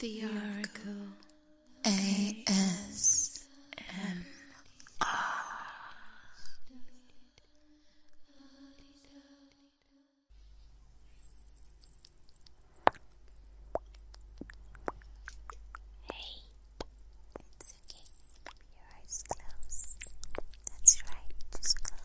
The Oracle ASMR. Hey, it's okay. Your eyes closed. That's right,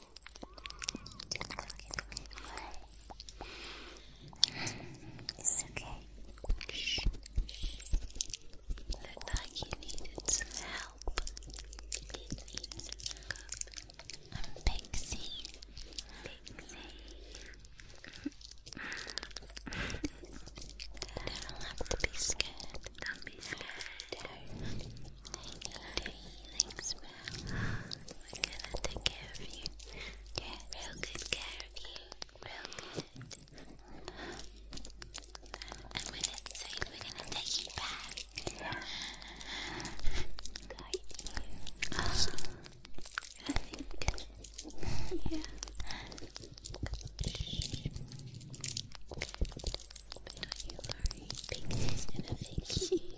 Don't look at me. Why? It's okay. Shh. Look like you needed some help. You need some help. I'm Pixie. Pixie. Don't have to be scared. Don't be scared. Don't. Take it easy. Thanks for I'm gonna take care of you. Get real good care of you. Real good. And when it's safe, we're going take you back. I think. Yeah. But do you worry, Pixie's gonna fix you.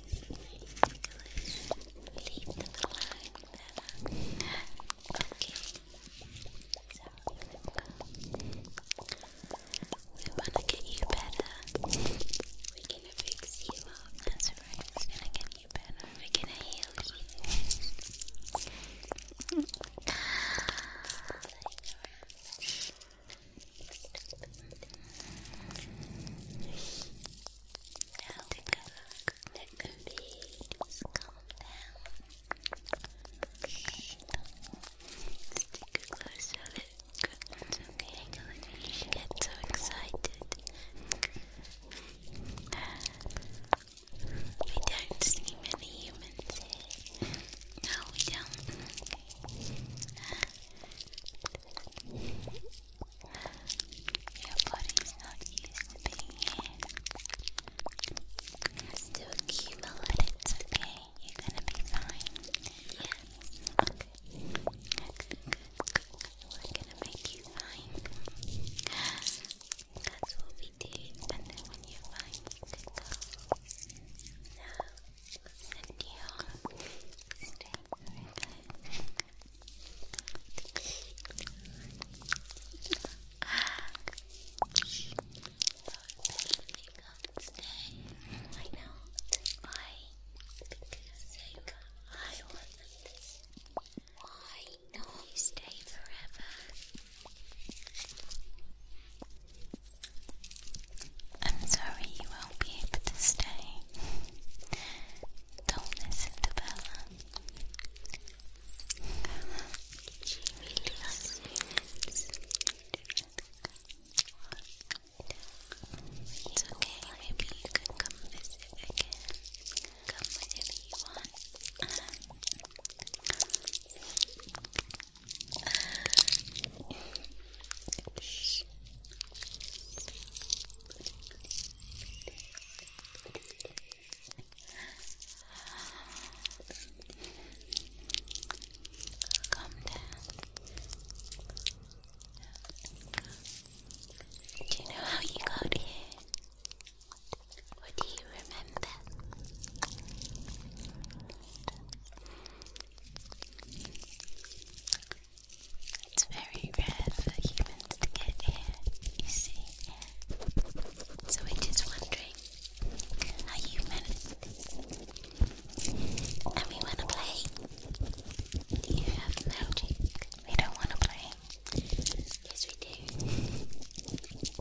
leave the climb Okay, so we wanna get you better. We're gonna fix you up. That's right. We're gonna get you better. We're gonna heal you. Now the color is calm down. Stick closer, look. It's okay, I know you get so excited. We don't see many humans here. No, we don't. Your body's not used to being here. it's gonna be fine. Yes. gonna make you fine. That's what we do. And then when you're fine, send you straight Stay. I know. Why? Because I want this. Why not stay forever? I'm sorry you won't be able to stay. Don't listen to Bella. maybe you can come visit again. Come whenever you want. Come down. Do you know how you got here? Or do you remember? It's very rare for humans to get here, you see. So we're just wondering how you managed And we want to play. You have magic. We don't want to play. Yes, we do.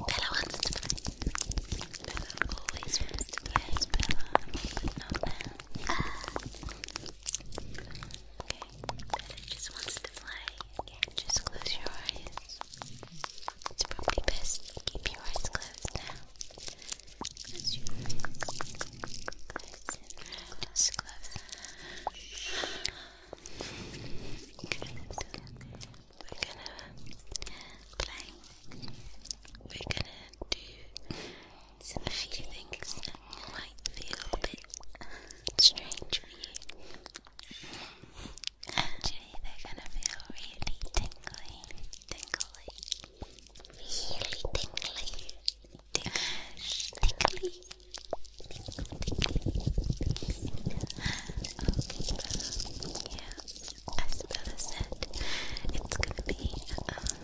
Bella wants to play. Bella always wants to play. Bella, but Okay, but just wants to fly. just close your eyes. It's probably best to keep your eyes closed now. Close your eyes. Close and just close. We're gonna play. We're gonna do so if you think it might feel a bit strange for you, actually they're gonna feel really tingly, tingly, really tingly, tingly, yeah, as Bella said, it's gonna be um,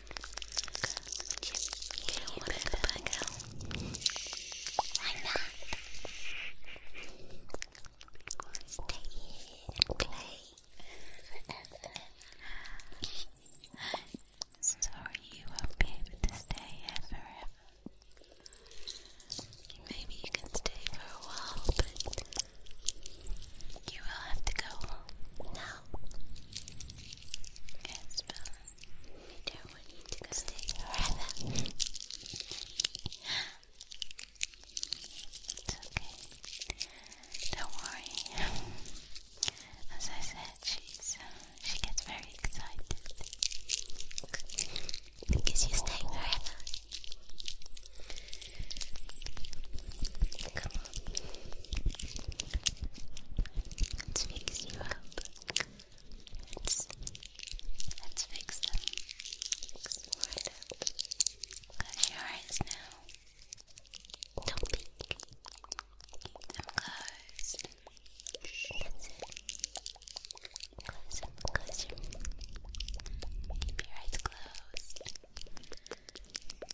You Why not? Stay and play forever. Sorry, you will to stay forever. Maybe you can stay for a while, but you will have to go home. Yes, Bella. don't want you to go stay forever. It's okay. Don't worry. As I said, she's she gets very excited because you're staying forever. Come Let's fix you up. Let's, fix them. Close your eyes now. Don't peek. Keep them closed. Close them, close Keep your eyes closed.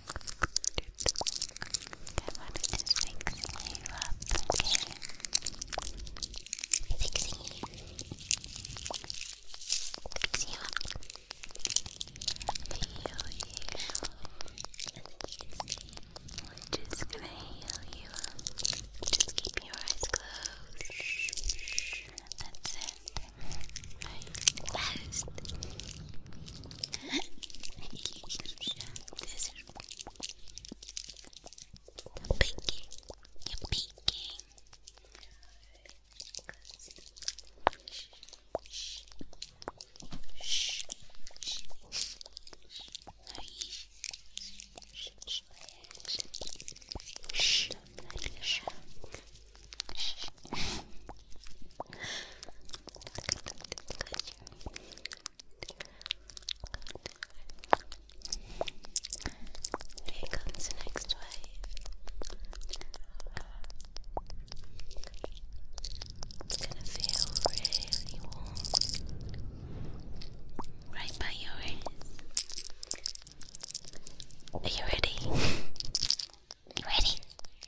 fixing you up, Fixing you. Fix you up. Heal you. just gonna heal you up. Just keep your eyes closed. That's it. Fast. this is the picking. You're picking. Shh. Here comes next wave. It's gonna feel really warm right by your ears. Are you ready? You ready?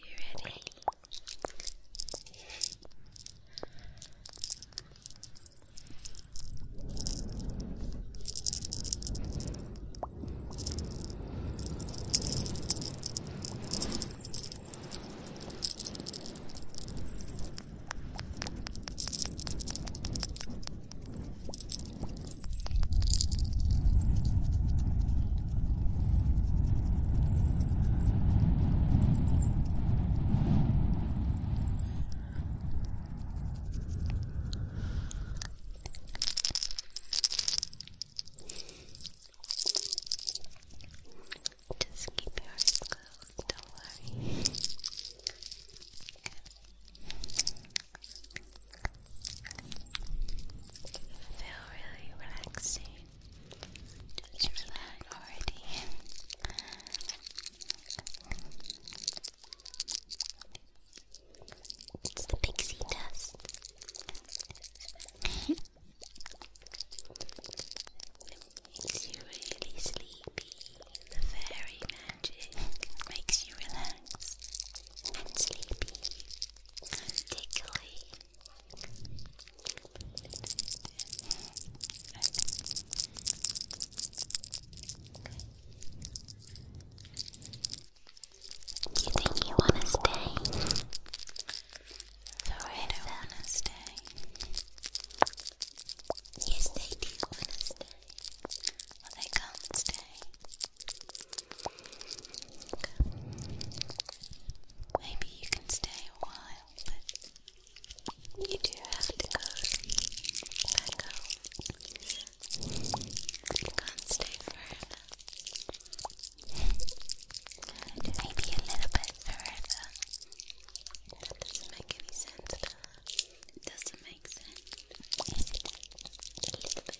You ready? Good. Just keep your eyes closed, don't worry. Good feel really relaxing. Just relax already. It's the pixie dust. makes you really sleepy. The fairy magic makes you relax and sleepy and Do you think you want to stay? Sorry, I want to stay. Yes, they do want to stay. Well, they can't stay. Maybe you can stay a while, but you do have to go back home. You can't stay forever. Maybe a little bit forever. That doesn't make any sense, it doesn't make sense. A little bit forever.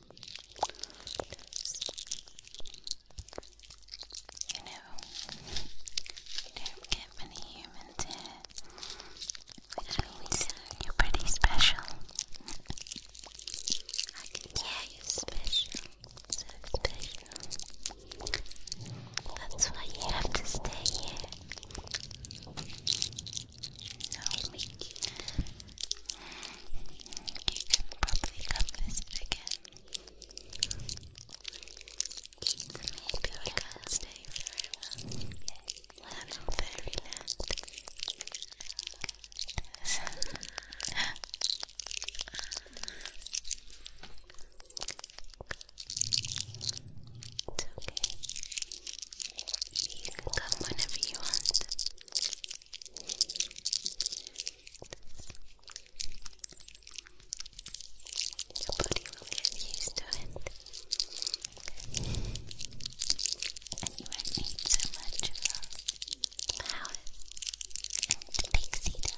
You know, you don't get many humans here, which you're pretty special. I you're special, so special. That's why you have to stay here. No, you can probably come visit again. Maybe we can't stay forever. Well, It's okay. You can come whenever you want. Your body will get used to it. And you won't need so much of a palette and big cedar.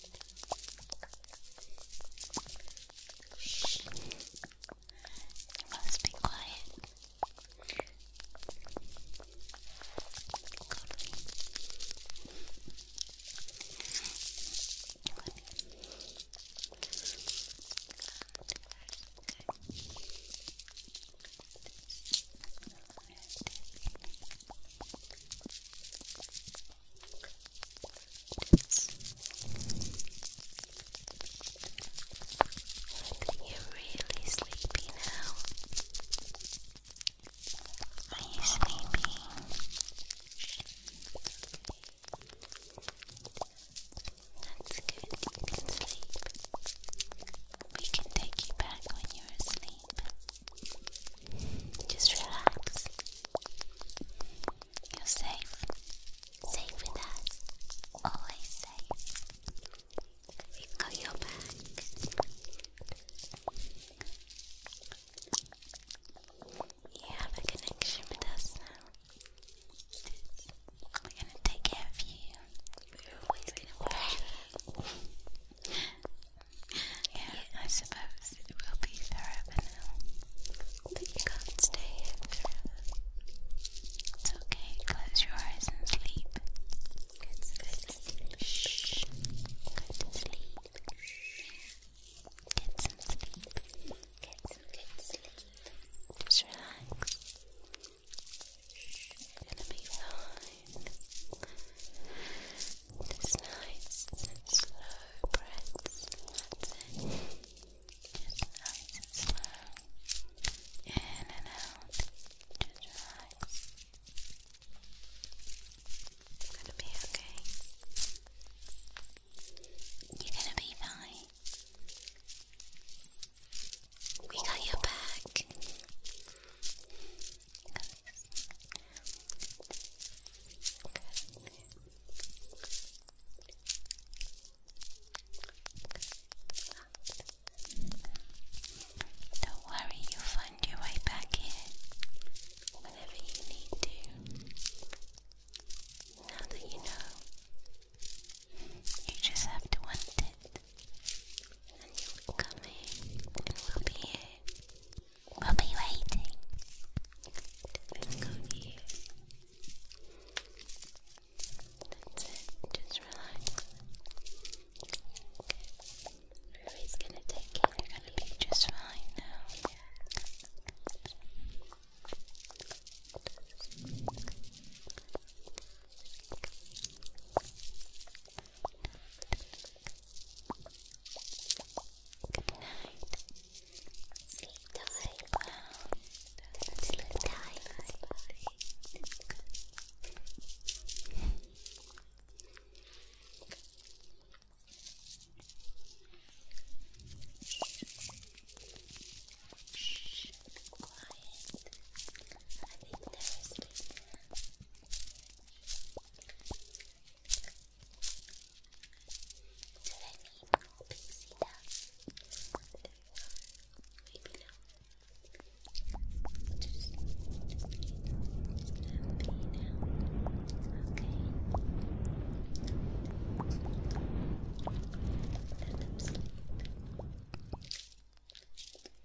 Shh. You must be quiet. Okay you really sleepy now. Are you sleepy? That's good. You can sleep. We can take you back when you're asleep. Just relax. You're safe. Safe with us. Always safe. We've got your back. You have a connection with us now. We're gonna take care of you. We're always gonna watch you. Yeah, I suppose it will be forever now. But you can't stay here forever. It's okay, close your eyes and sleep. Good sleep. Shh. Good sleep. Get some sleep. Get some good sleep. Just relax. It's gonna be fine. This nice slow breaths, that's nice and slow. In and out. Just relax. It's gonna be okay. You're gonna be fine. We got your back. Don't worry, you'll find your way back here whenever you need to. Now that you know, you just have to want it, and you'll come and we'll be here. We'll be waiting. let go here. Just relax. Okay. gonna take care. You're gonna be just fine now. Good night. Sleep tight. Wow. Sleep tight. Shh, quiet. I think there is do I need more pixie dust? Maybe no. Just happy now. Okay. Let them sleep. Okay.